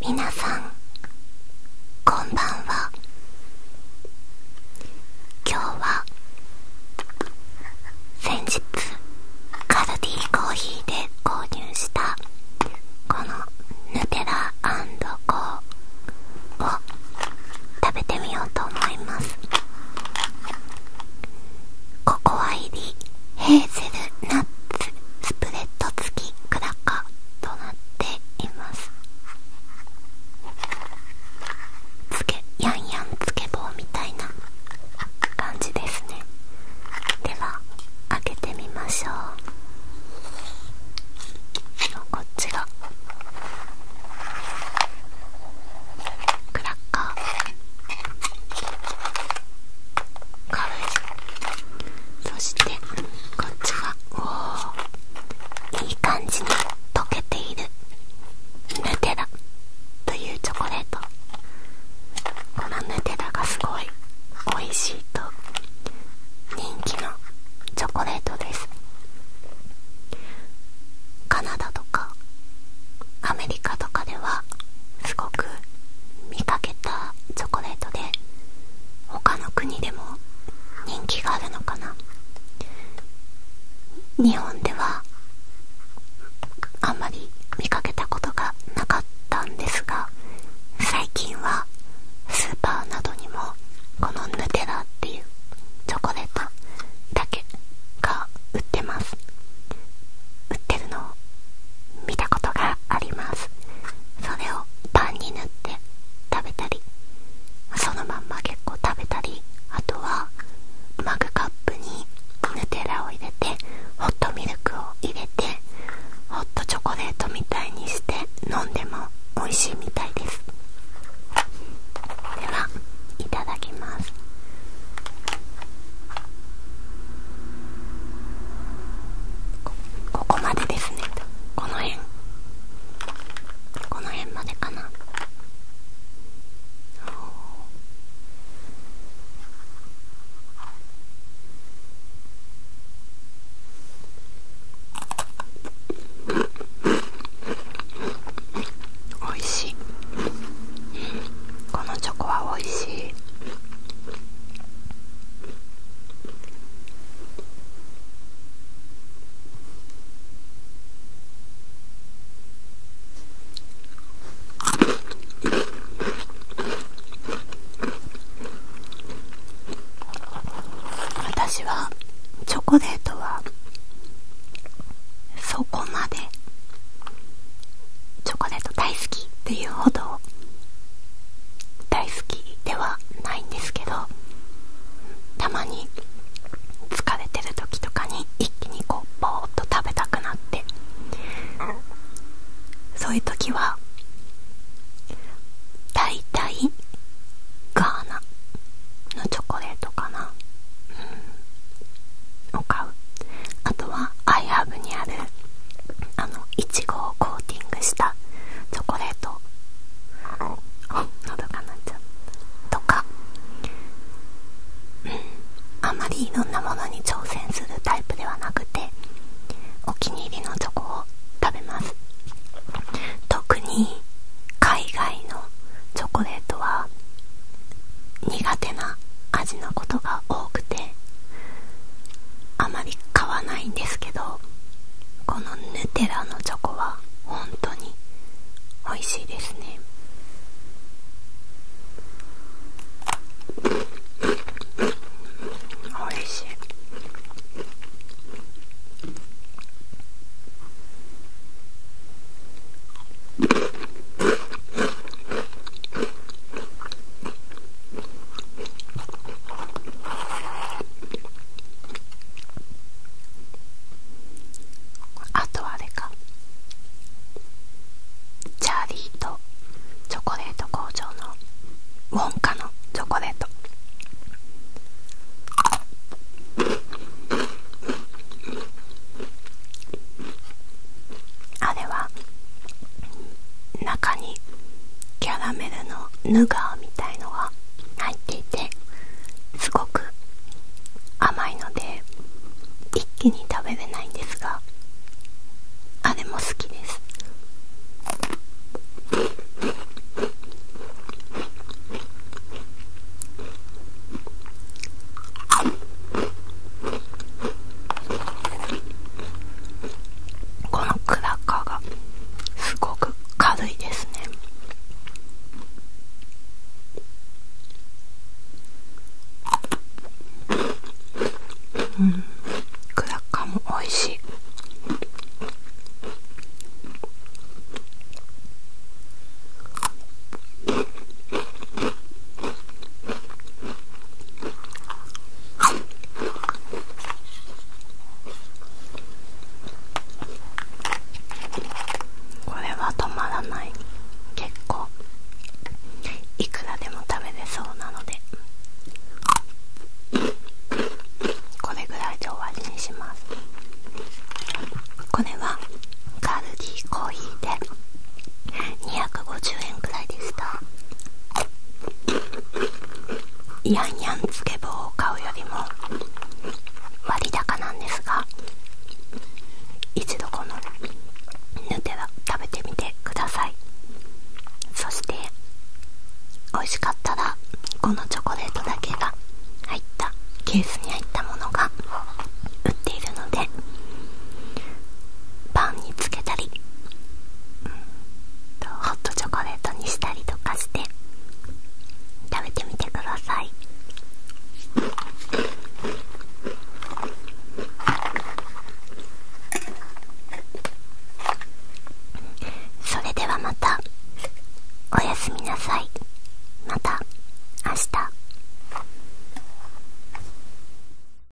皆さんこんばんは今日は先日カルディコーヒーで購入したこのヌテラコーを食べてみようと思いますココア入りヘーゼルナッツスプレッド付ききくらかとなっていますつけやんやんつけ棒みたいな感じですねでは開けてみましょうこっちがクラッカー軽いそしてこっちはおーいい感じに溶けているヌテラというチョコレートこのヌテラがすごい美味しいと人気のチョコレートですカナダとかアメリカとかではすごく見かけたチョコレートで他の国でも人気があるのかな日本ではあんまり見かけたことがなかったんですが最近はスーパーなどにもこのヌテラっていうチョコレートだけが売ってます売ってるの見たことがありますそれをパンに塗って食べたりそのまんま結構食べたりあとはマグカップにヌテラを入れてホットミルクを入れてホットチョコレートみたいにして飲んでも美味しいみたいですではいただきますここまでですねこの辺この辺までかなおいしいこのチョコはおいしい私はチョコレートはそこまでチョコレート大好きっていうほど大好きではないんですけどたまに疲れてる時とかに一気にこうぼーっと食べたくなってそういう時は大体ガーナのチョコレートかな、うん、を買うあとはアイハブにあるあのいちごをコーティングしたチョコレート喉が鳴っちゃったとかうんあまりいろんなものに挑戦するタイプではなくてお気に入りのチョコを食べます特に海外のチョコレートは苦手な味のことが多くてあまり買わないんですけどこのヌテラのチョコは本当に美味しいですね美味しいあとはあれかチャーリーとチョコレート工場のウォンカのチョコレートあれは中にキャラメルのヌガーみたいのが入っていてすごく甘いので一気に食べれないんですがあれも好きですこのクラッカーがすごく軽いですねうんクラッカーも美味しいこれは止まらない結構いくらでも食べれそうなのでこれぐらいで終わりにしますこれはカルディコーヒーで250円くらいでしたヤンヤンつけ棒を買うよりも割高なんですが一度このヌテは食べてみてくださいそして美味しかったらこのチョコレートだけが入ったケースに入ったものが売っているのでパンにつけたりホットチョコレートにしたりとかして食べてみてくださいそれではまたおやすみなさいまた明日